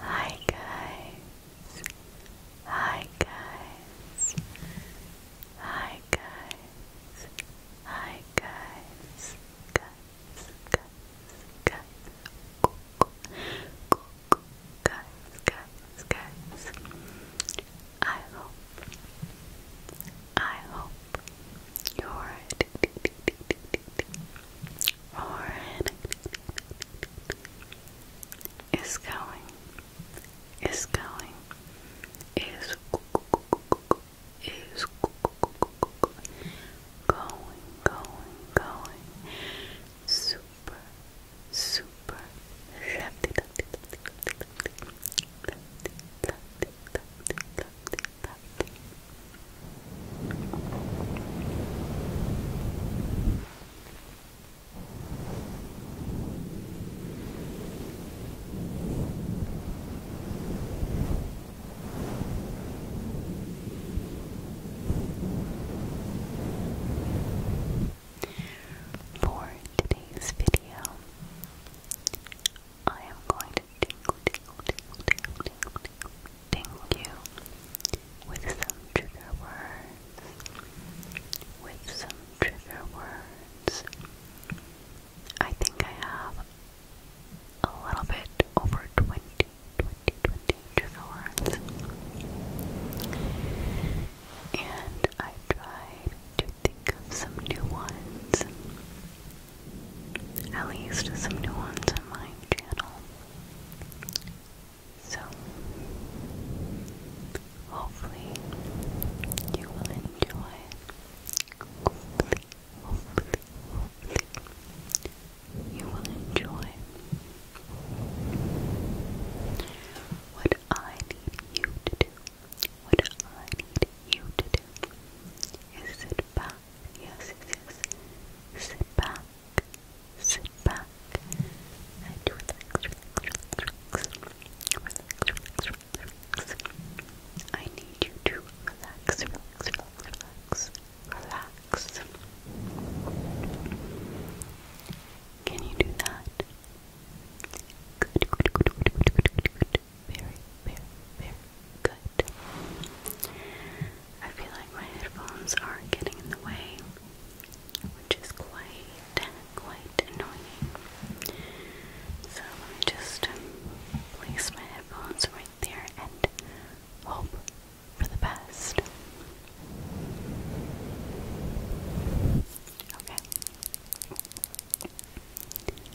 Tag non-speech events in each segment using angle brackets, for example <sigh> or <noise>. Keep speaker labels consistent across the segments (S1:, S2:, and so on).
S1: Hi guys. Hi guys. Hi guys. Hi guys. Guys. Guys. Guys. Guys. Guys. Guys. I hope. I hope your horn is going, is going, is is going, going, going, super, super, lefty, lefty, lefty, lefty, lefty, lefty, lefty, that. For today's video, I am going to tingle, tingle, tingle, tingle, tingle, tingle, tingle you with some trigger words. With some trigger words. I think I have a little bit over 20, trigger words. And I tried to think of some new ones at least some new ones on my channel. So, hopefully, you will enjoy. Hopefully, hopefully, hopefully, you will enjoy what I need you to do. What I need you to do is sit back, yes, yes, yes, back, back, I need you to relax, relax, can you do that? very, very, very good. I feel like my headphones are getting in the way, which is quite, quite annoying. So let me just um, place my headphones right there and hope for the best. Okay.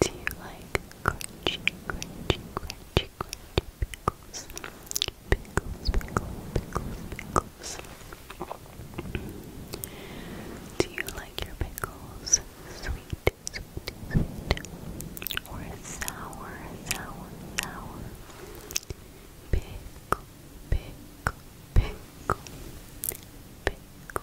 S1: Do you like crunchy, crunchy, crunchy, crunchy pickles? Pickles, pickles, pickles, pickles. Do you like your pickles sweet, sweet, sweet, or sour, sour, sour? Pickle, pickle, pickle, pickle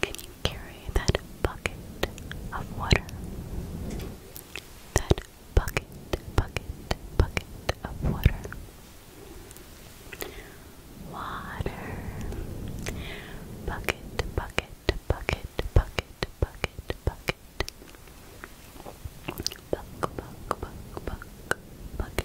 S1: can you carry that bucket of water? That bucket, bucket, bucket of water. Water. Bucket, bucket, bucket, bucket, bucket, bucket. Buck, buck, buck, buck, bucket.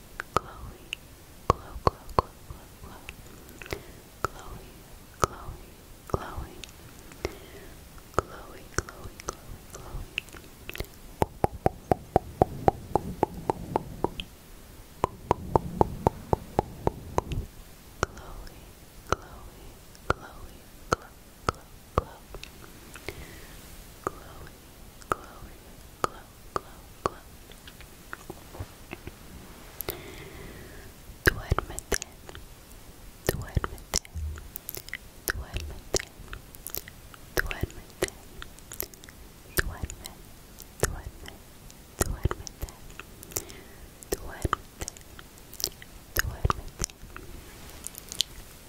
S1: Chloe, glow, glow, glow, glow, glow. Chloe, Chloe, Chloe. Chloe, Chloe, Chloe, Chloe. Chloe, Chloe, Chloe, Chloe, Chloe, Chloe, Chloe, glow, glow, glow, glow. Duérmete, duérmete, duérmete, duérmete, duerme, duerme, duérmete, duérmete, duérmete,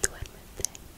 S1: duérmete.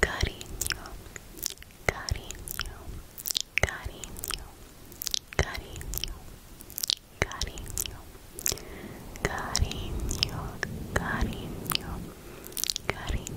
S1: Cariño, cariño, cariño, cariño, cariño, cariño, cariño, cariño, cariño.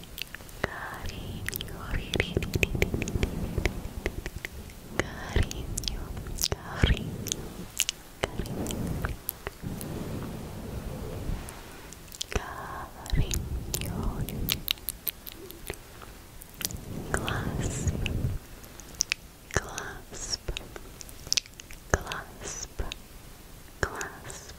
S1: Carinho, carinho, carinho, carinho. Carinho, clasp, clasp, clasp, clasp,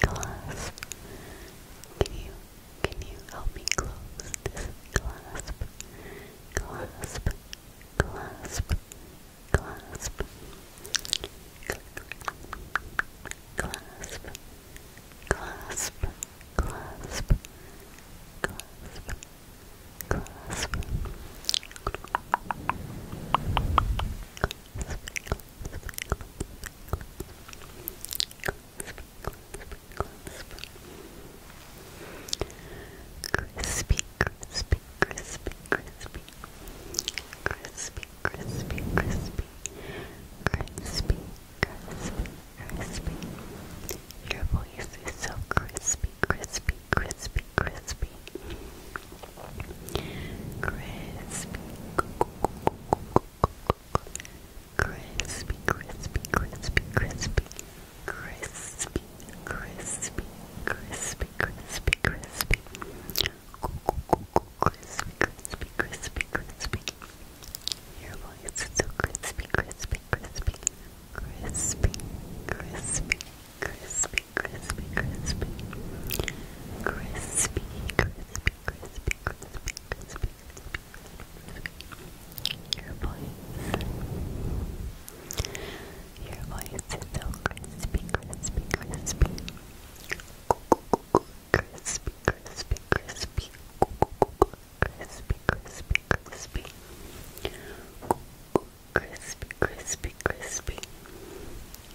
S1: clasp. Can you can you help me close this clasp? Clasp, clasp, clasp, clasp, clasp, clasp, clasp, clasp. Clasp, Crispy, crispy, crispy, crispy, crispy, crispy, crispy, crispy, crispy, crispy. Your voice is so crispy, crispy, crispy, crispy. Crispy. Crispy, crispy, crispy, crispy. Crispy, crispy, crispy, crispy, crispy. Crispy, crispy, crispy, crispy. Your voice is so crispy, crispy, crispy. Crispy, crispy, crispy, crispy, crispy, crispy, crispy, crispy, crispy, crispy, your voice, your voice is so crispy, crispy, crispy, crispy, crispy, crispy, crispy, crispy, crispy. Crispy, crispy, crispy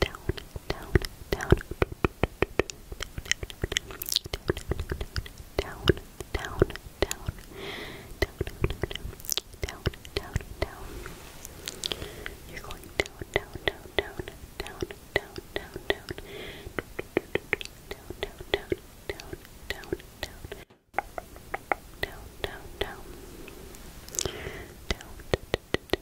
S1: down, down, down, down, down, down, down, down, down. You're going down, down, down, down, down, down, down, down, down, down, down, down, down, down. Down, down, down. Down, down, down,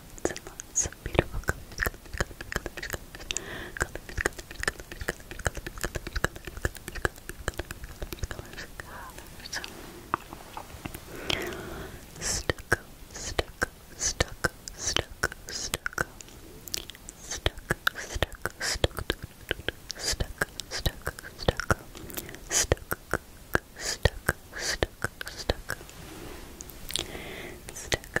S1: lots and lots of beautiful colors, colors, colors, colors, colors, colors, colors, colors, colors, colors, colors, colors, colors, colors, colors, stucco, stucco, stucco, stucco, stucco, stucco, stucco, stucco, stucco, stucco, stucco, stucco, stucco, stucco, stucco, stucco,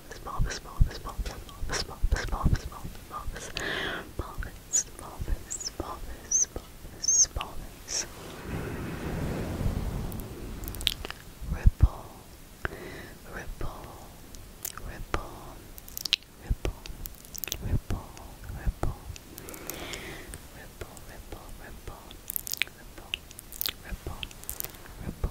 S1: bulbous, bulbous, bulbous, bulbous, bulbous, bulbous, bulbous, bulbous, bulbous, bulbous, bulbous, bulbous, bulbous, ripple, ripple, ripple, ripple, ripple, ripple, ripple, ripple, ripple, ripple, ripple, ripple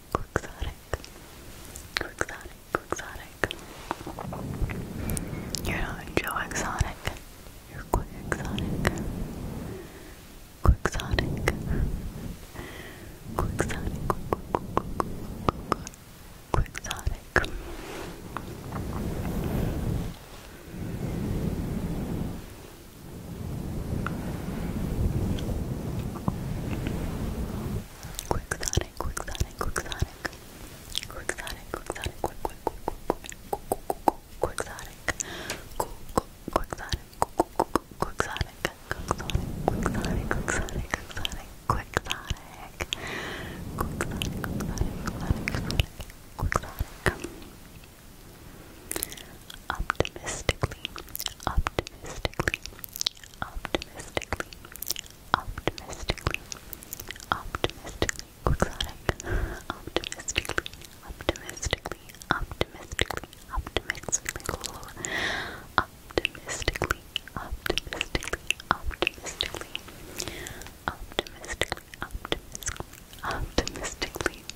S1: Quixotic. Quixotic. Quixotic. You're not Joe Exotic. You're quick Quixotic. Quixotic. Quixotic. Quixotic, quixotic, quixotic. Quixotic, quixotic, quick, quick, quick, quick, quixotic. Quixotic, quixotic, quixotic, quixotic, quixotic. Quixotic. Quixotic, quixotic, quixotic, quixotic optimistically, optimistically, optimistically, optimistically, optimistically, quixotic, optimistically, optimistically, optimistically, optimistically, optimistically, optimistically, optimistically, optimistically, optimistically, optimistically,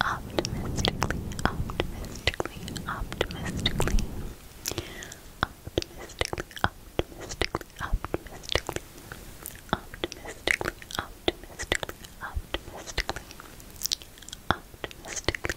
S1: optimistically, optimistically, optimistically, optimistically, optimistically, optimistically, optimistically, optimistically, optimistically, optimistically,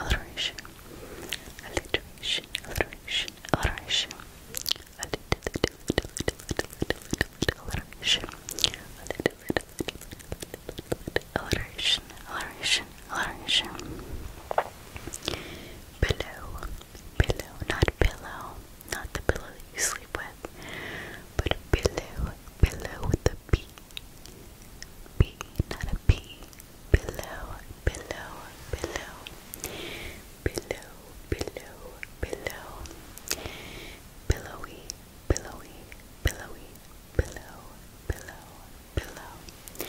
S1: alliteration, alliteration, alliteration, alliteration, alliteration, alliteration, alliteration, alliteration, pillow, pillow, not pillow, not the pillow you sleep with, but pillow, pillow with the P B, not a P. Below, below, below. Below, below, below. Billowy, billowy, billowy, below, below, below. B,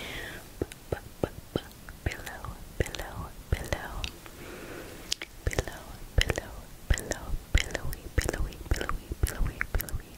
S1: b, b, below, below, below. Below, below, below, billowy, billowy, billowy, billowy, billowy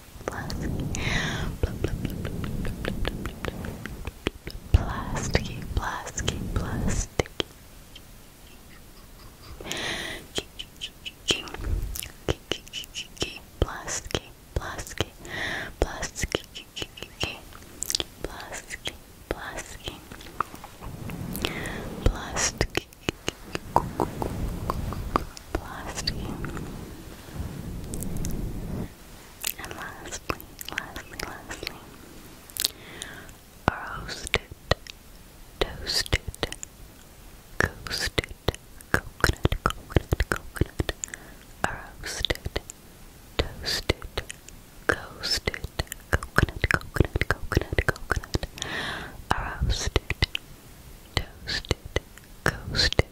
S2: Plasticky, plasticky, plasticky. Plasticky, plasticky, plasticky, plasticky, plasticky, plasticky, plasticky, plasticky, and lastly, lastly, lastly, roasted, toasted, coasted, coconut, coconut, coconut, roasted, toasted, coasted, coconut, coconut, coconut, coconut, roasted, toasted, coasted,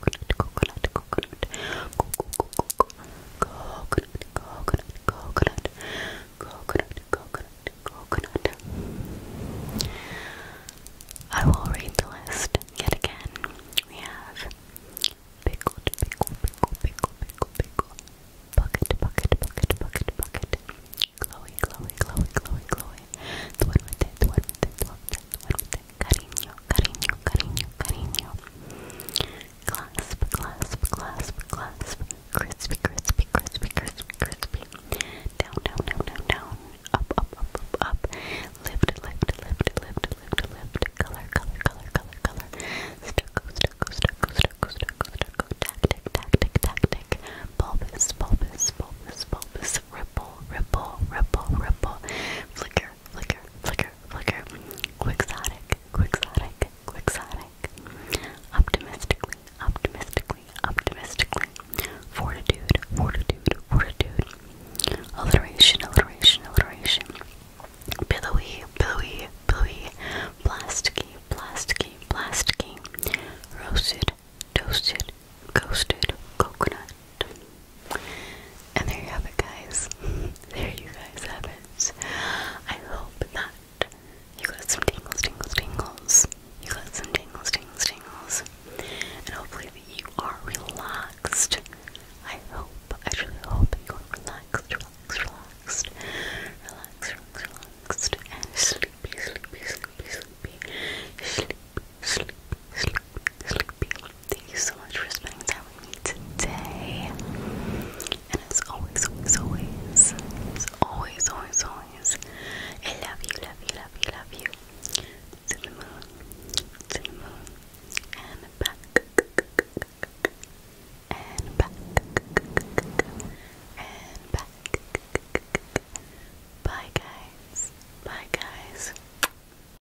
S1: coconut, coconut, coconut, coconut, coconut, coconut, coconut, coconut, coconut. I will read the list yet again. We have pickle, pickle, pickle, pickle, pickle, bucket, bucket, bucket, bucket, bucket, Chloe, Chloe, Chloe, Chloe, Chloe. The one with it, cariño, cariño, cariño, cariño. Clasp, clasp, clasp, clasp. Crispy, crispy, crispy, crispy, crispy. Down, down, down, down, down. Up, up, up, up, up. Lift, lift, lift, lift, lift, lift. Color, color, color, color, color. Stucco, stucco, stucco, stucco, stucco, stucco. Tactic, tactic, tactic. Bulbous, bulbous, bulbous, bulbous. Ripple, ripple, ripple, ripple. Flicker, flicker, flicker flicker, flicker, quixotic, quixotic, quixotic, optimistically, optimistically, optimistically, fortitude, fortitude, fortitude, alliteration, alliteration, alliteration, billowy, billowy, billowy, plasticky,
S2: plasticky, plasticky, roasted, toasted, ghosted, coconut, and there you have it, guys. <laughs> there you guys have it. I hope that you got some tingles, tingles, tingles. You got some tingles, tingles, tingles. And hopefully that you are relaxed. I hope, I truly
S1: hope you are relaxed, relaxed, relaxed. Relaxed, relaxed, relaxed. And sleepy, sleepy, sleepy, sleepy. Sleep, sleep, sleep, sleepy. Thank you so much for spending time with me today. And as always, always, always, always, always, always, I love you, love you, love you, love you. To the moon, to the moon, and back, and back, and back. Bye, guys. Bye, guys.